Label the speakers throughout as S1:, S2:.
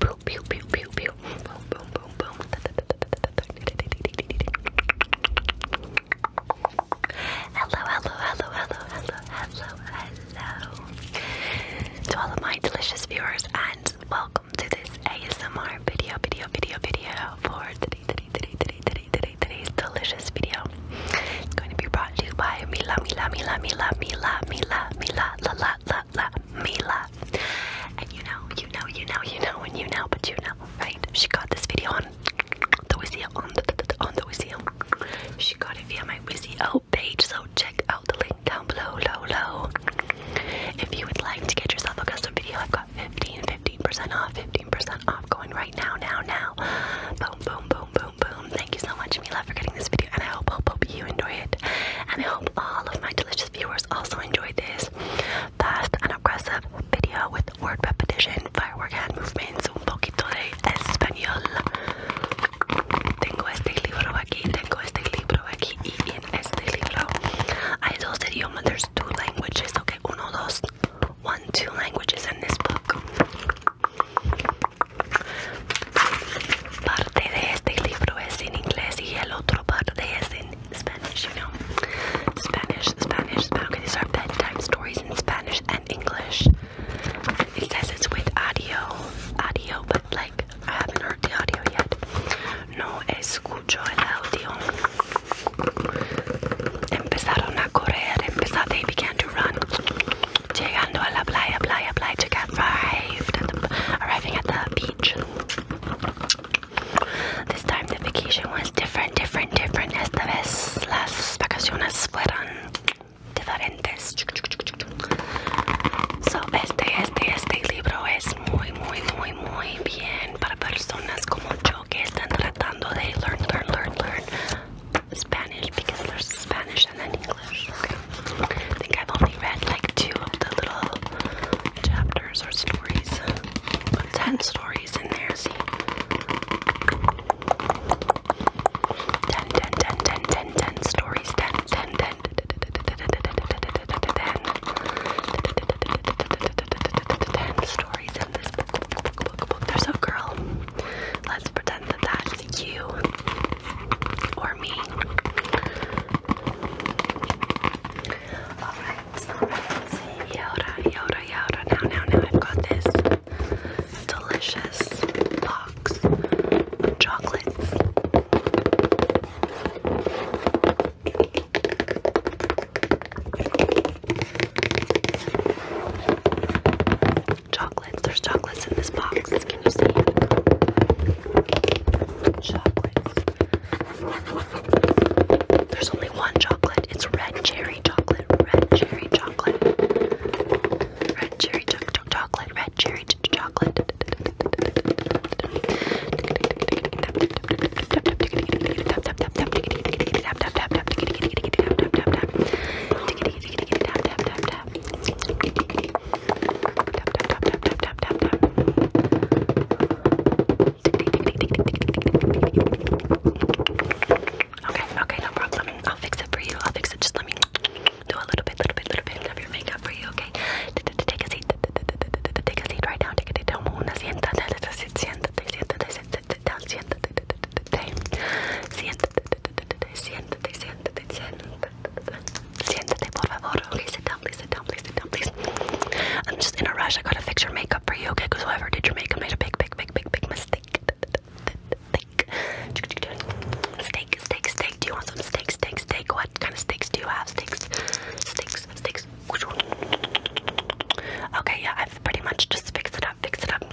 S1: Boom, pew, pew, pew, pew. Boom, boom, boom, boom. Hello, hello, hello, hello, hello, hello, hello. To all of my delicious viewers, and welcome to this ASMR video, video, video, video for today, today, today, today, today, today, today's delicious video. It's going to be brought to you by Mila, Mila, Mila, Mila, Mila, Mila, Mila, Mila, Mila, la la la And you know, you know, you know, you know, and you know, but you know, right? She got this video on the Wizio on the on the Wizio. She got it via my Wizio page, so check out the link down below, low, If you would like to get yourself a custom video, I've got 15, 15% off, 15% off going right now, now, now. Boom, boom, boom, boom, boom. Thank you so much, Mila, for getting this video and I hope, hope, hope you enjoy it. And I hope all of my delicious viewers also enjoy this fast and aggressive video with word repetition, firework hand movements, un poquito de español. Tengo este libro aquí, tengo este libro aquí, y en este libro hay dos idiomas. There's two languages, okay? Uno, dos, one, two languages in this book. Parte de este libro es en inglés y el otro parte es en Spanish, you know. Spanish, Spanish, Okay, these are bedtime stories in Spanish and English. It says it's with audio, audio, but like I haven't heard the audio yet. No escucho el audio. they began to run llegando a la playa, playa, playa, to get arrived at the, at the beach. This time the vacation was different, different, different. Esta vez las vacaciones fueron diferentes. So, este, este, este libro es muy, muy, muy, muy bien para personas como yo que están tratando de learn, learn, learn, learn Spanish because there's Spanish and then English. I think I've only read like two of the little chapters or stories. But ten stories in there, see? stories, 10, stories in this book. There's a girl Let's pretend that that's you or me. Alright, so let's Yoda, Yoda, Yoda. Now, now, now, I've got this delicious box of chocolates. There's chocolates in this box. Can you see? Chocolates. There's only one chocolate. It's red cherry chocolate. Red cherry chocolate. Red cherry cho cho chocolate. Red cherry cho chocolate. Okay, okay, no problem. I'll fix it for you. I'll fix it. Just let me do a little bit, little bit, little bit of your makeup for you, okay? Take a seat. Take a seat right now. Take a seat siéntate, siéntate, siéntate. Siéntate, por favor. Okay, sit down, please, sit down, please, sit down, please. I'm just in a rush. I gotta fix your makeup for you, okay? Because whoever did your makeup made a big, big, big, big, big mistake. Mistake. Steak, steak, steak. Do you want some steak, steak, steak? What kind of steaks do you have? Steaks, steaks, steaks. Okay, yeah, I've pretty much just fixed it up, fixed it up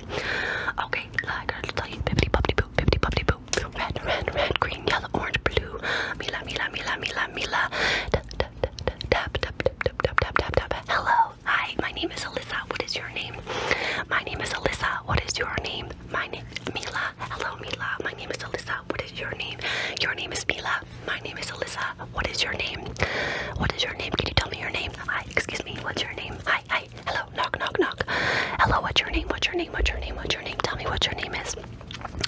S1: Okay, I gotta tell you, bippity Red, red, red, green, yellow, orange, blue. Mila, Mila, Mila, Mila, Mila. Tap, tap, tap, tap, tap, tap, tap, tap, tap. Hello, hi. My name is Alyssa. What is your name? My name is Alyssa. What is your name? My name, Mila. Hello, Mila. My name is Alyssa. What is your name? Your name is Mila. My name is Alyssa. What is your name? What is your name? Can you tell me your name? I excuse me, what's your name? Hi, hi, hello, knock, knock, knock. Hello, what's your name? What's your name? What's your name? What's your name? Tell me what your name is.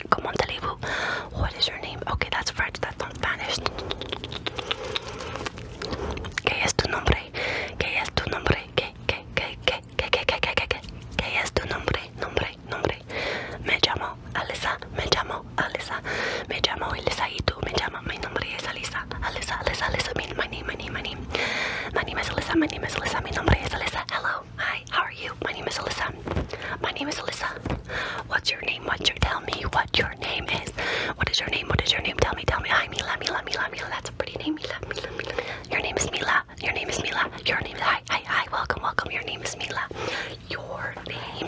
S1: Comment allez-vous? What is your name? Okay, that's French, that's not Spanish. ¿Qué es tu nombre? ¿Qué es tu nombre? ¿Qué, qué, qué, qué, qué, qué, qué, es tu nombre? Nombre, nombre. Me llamo Alisa, me llamo Alisa, me llamo Elisa y tú, me llamo llama? Mi nombre es Alisa. Alisa, Alisa, Alisa. My, my name, my name, my name. My name is Alisa. My name is Alisa. Mi nombre es Alisa. Hello. Hi. How are you? My name is Alisa. My name is Alisa. What's your name? What's your tell me what your name is? What is your name? What is your name? Tell me, tell me. Hi, Mila, Mila, Mila, Mila. That's a pretty name, Mila, Mila, Mila. Your name is Mila. Your name is Mila. Your name is hi, hi, hi. Welcome, welcome. Your name is Mila. Your name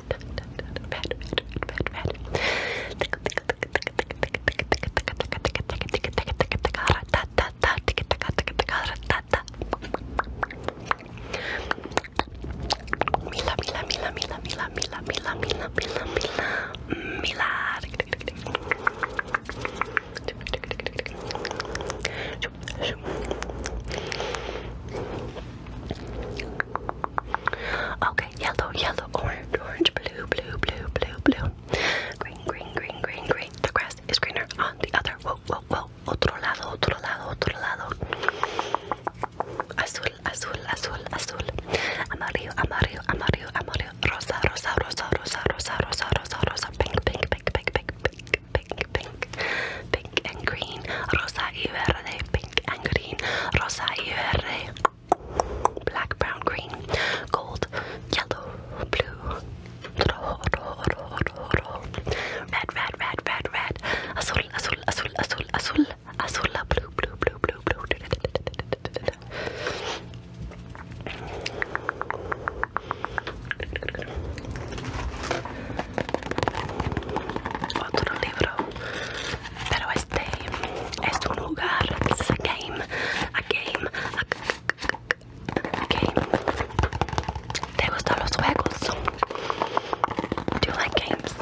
S1: red, red, red, red. Mila, Mila, Mila, Mila, Mila, Mila, Mila, Mila, Mila, Mila, Mila. Mila. Okay, yellow, yellow, orange, orange, blue, blue, blue, blue, blue. Green, green, green, green, green. The grass is greener on the other. Whoa, whoa, whoa. Otro lado, otro lado, otro lado. Azul, azul, azul, azul. Amarillo, amarillo, amarillo, amarillo. Rosa, rosa, rosa, rosa, rosa, rosa, rosa, rosa. Pink, pink, pink, pink, pink, pink pink, pink, pink, and green, rosa y verde, pink and green, rosa y verde, black, brown, green, gold, yellow, blue, red, red, red, red, red, azul, azul, azul, azul, azul, azul, blue, blue, blue, blue, blue. otro libro pero este es un lugar es a game a game a, a te gustan los juegos do you like games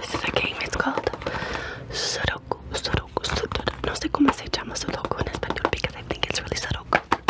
S1: this is a game it's called sudoku sudoku sudoku no sé cómo se llama sudoku en español I think it's really sudoku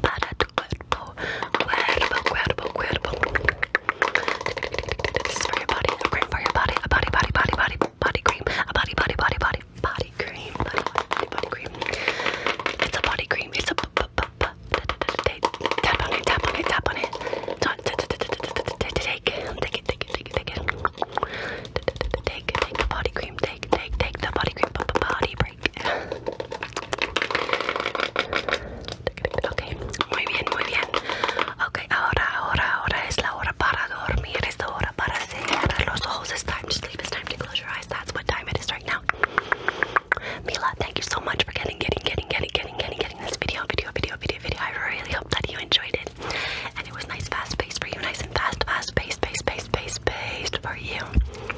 S1: para tu cuerpo, cuerpo, cuerpo, cuerpo. This is for your body, a cream for your body, a body, body, body, body, body cream, a body, body, body, body, body cream, body, body, body cream. It's a body cream. It's a b b b b. Tap on it, tap on it, tap on it. Take it, take it, take it, take it, take it. Take, take the body cream. Take, take, take the body cream. Body, ok, muy bien, muy bien. Ok, ahora, ahora, ahora es la hora para dormir. Es la hora para cerrar los ojos. It's time to sleep. It's time to close your eyes. That's what time it is right now. Mila, thank you so much for getting, getting, getting, getting, getting, getting, getting this video, video, video, video, video. I really hope that you enjoyed it. And it was nice, fast pace for you. Nice and fast, fast paced, paced, paced, pace, paced for you.